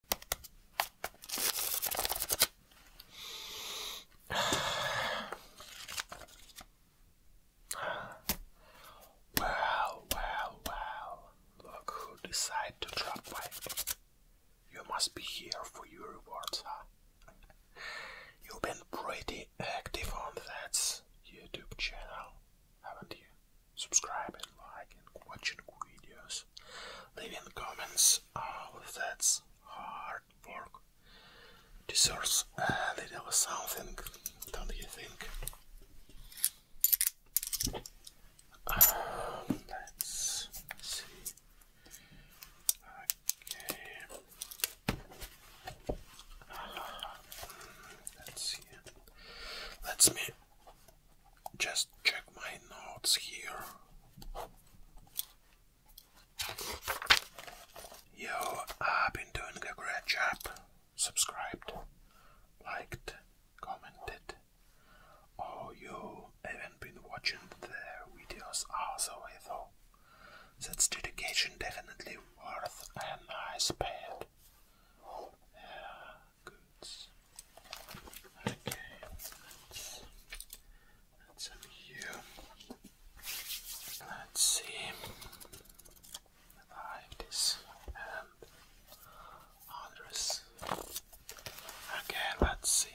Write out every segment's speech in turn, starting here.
Well, well, well. Look who decided to drop by. You must be here for your rewards, huh? You've been pretty active on that YouTube channel, haven't you? subscribe and like and watching videos. Leave Leaving comments, all uh, of that's hard work deserves a little something, don't you think? Um, let's see. Okay. Uh, hmm, let's see. Let's me just check my notes here. Yo, have been doing a great job. Subscribed, liked, commented. Oh, you haven't been watching their videos also, though. That's dedication definitely worth a nice pad goods. Okay, that's, that's up here. Let's see if this um, and Okay, let's see.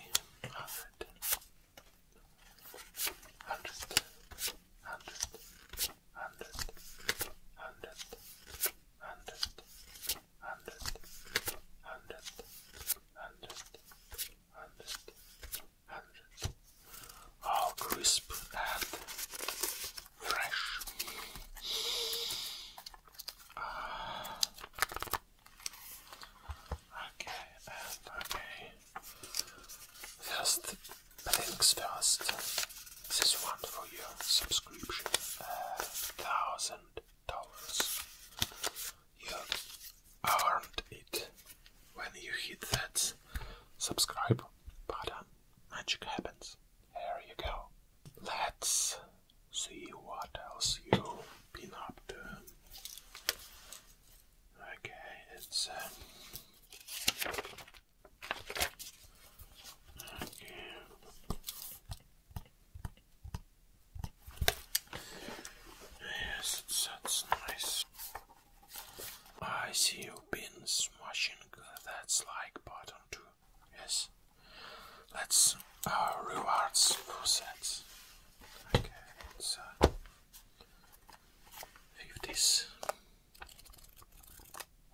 Hundred. Hundred. Hundred. Hundred. Hundred hundred, hundred, hundred, hundred, hundred, hundred. All crisp and fresh. okay, okay. First, things first. This is one for your subscription, uh, thousand dollars. You earned it when you hit that subscribe button. Magic happens. There you go. Let's see what else you've been up to. Okay, it's. Uh, okay. Yes, that's nice. I see you've been smashing that like button too. Yes. Let's rewards for that. Okay, so uh, fifties.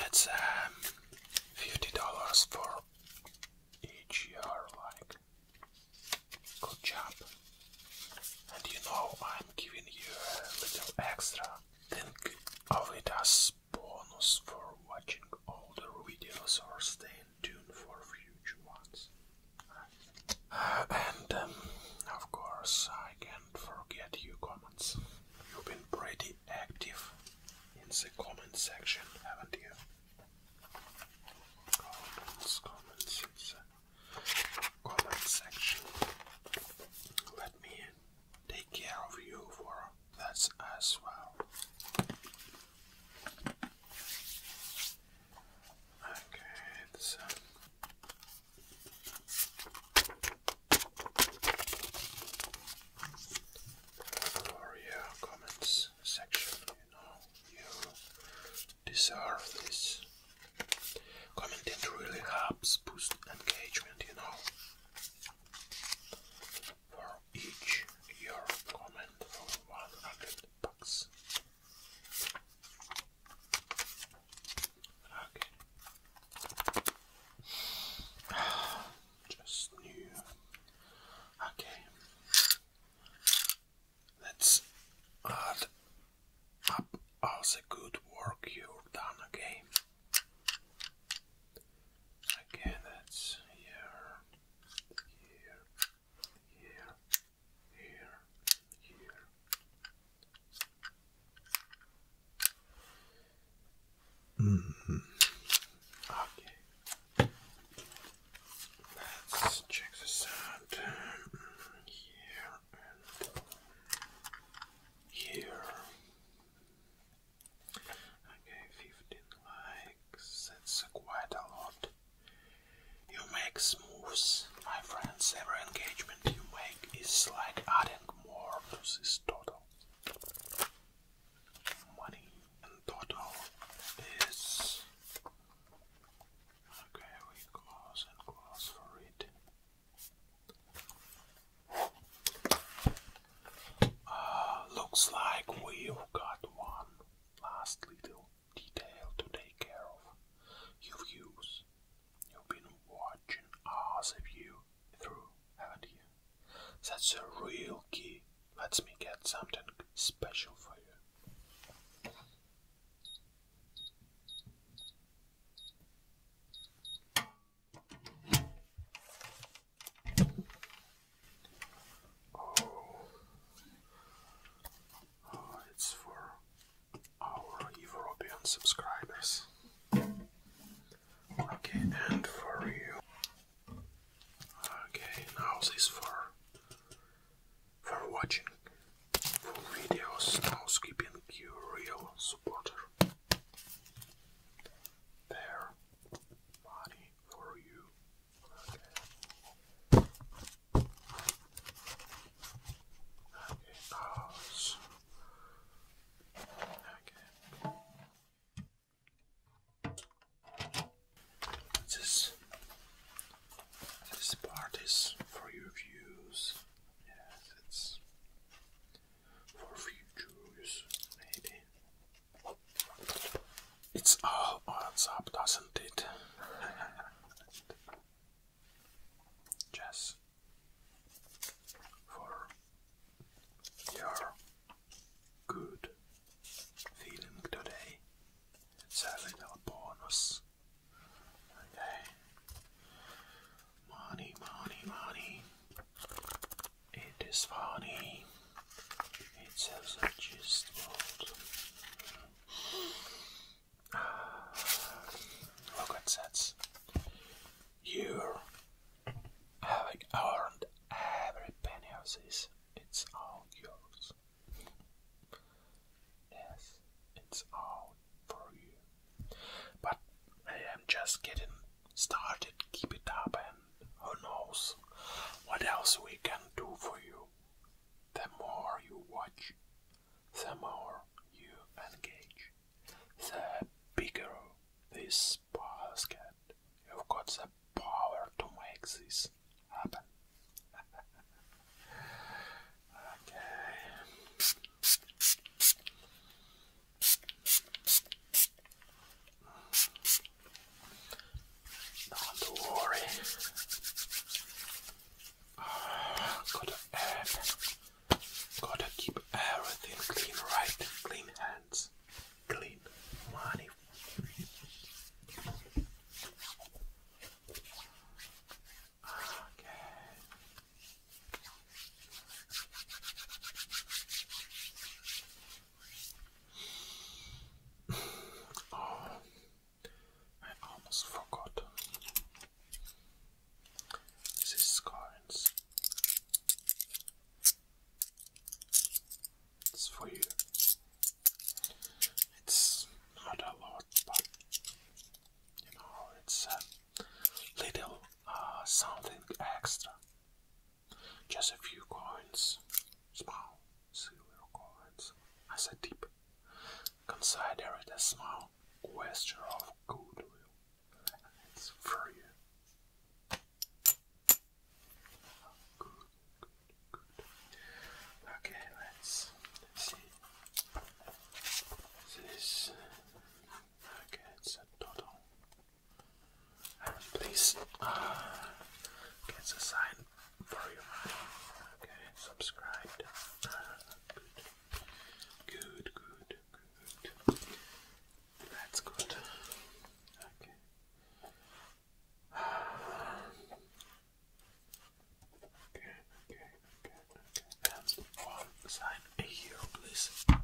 That's um, fifty dollars for each year, like good job. And you know I'm giving you a little extra. Think of it as bonus for watching all the videos or staying tuned for future ones. Uh, and um, of course I can't forget you comment comments. You've been pretty active in the comment section, haven't you? Comments, comments, it's a comment section. Let me take care of you for that as well. Okay, it's. Uh, for comments section, you know, you deserve this. Commenting really helps boost engagement, you know. For each your comment for 100 bucks. Okay. Just new. Okay. Let's add up all the good work you've done, okay? Okay, that's here, here, here, here, Mm -hmm. Okay. Let's check this out here and here. Okay, 15 likes. That's quite a lot. You make moves, my friends. Every engagement you make it's like adding more to this total. Money in total is okay. We close and close for it. Uh, looks like we've got one last little detail to take care of. You've You've been watching us of you through, haven't you? That's the real key. Let me get something special for you. Oh, oh it's for our European subscribers. Okay, and for you. Okay, now this for for watching full videos, now skipping you real supporter. There money for you. Okay, pause. Okay. This this part is for your views. Yes, it's for futures, maybe. It's all adds up, doesn't it? just for your good feeling today. It's a little bonus. Okay. Money, money, money. It is funny. It's a just Look at that. You having earned every penny It's all yours. Yes, it's all for you. But I am just getting started. Keep it up, and who knows what else we can do for you. The more you watch, the more you engage, the bigger this bars get. You've got the power to make this happen. okay. Don't worry, gotta gotta keep everything clean, right? Clean hands, clean money. Okay. Oh, I almost forgot. This is coins. It's for you. It's not a lot, but you know, it's a little uh, something extra. Just a few coins, small silver coins, as a tip. Consider it a small gesture of goodwill. It's for you. Okay, let's, see. This. Okay, it's a total. And please, uh, get the sign for you. Okay, subscribed. Good, good, good. good. That's good. Okay. Okay, okay, okay, one sign here, please. Okay.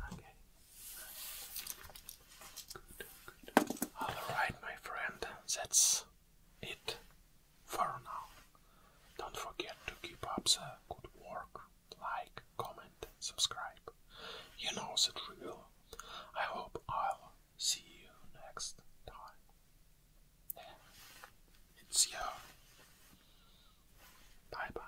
Good, good. Alright, my friend, that's it for now. Don't forget to keep up the good work, like, comment, subscribe. You know the drill. I hope I'll see you next time. It's you. Bye bye.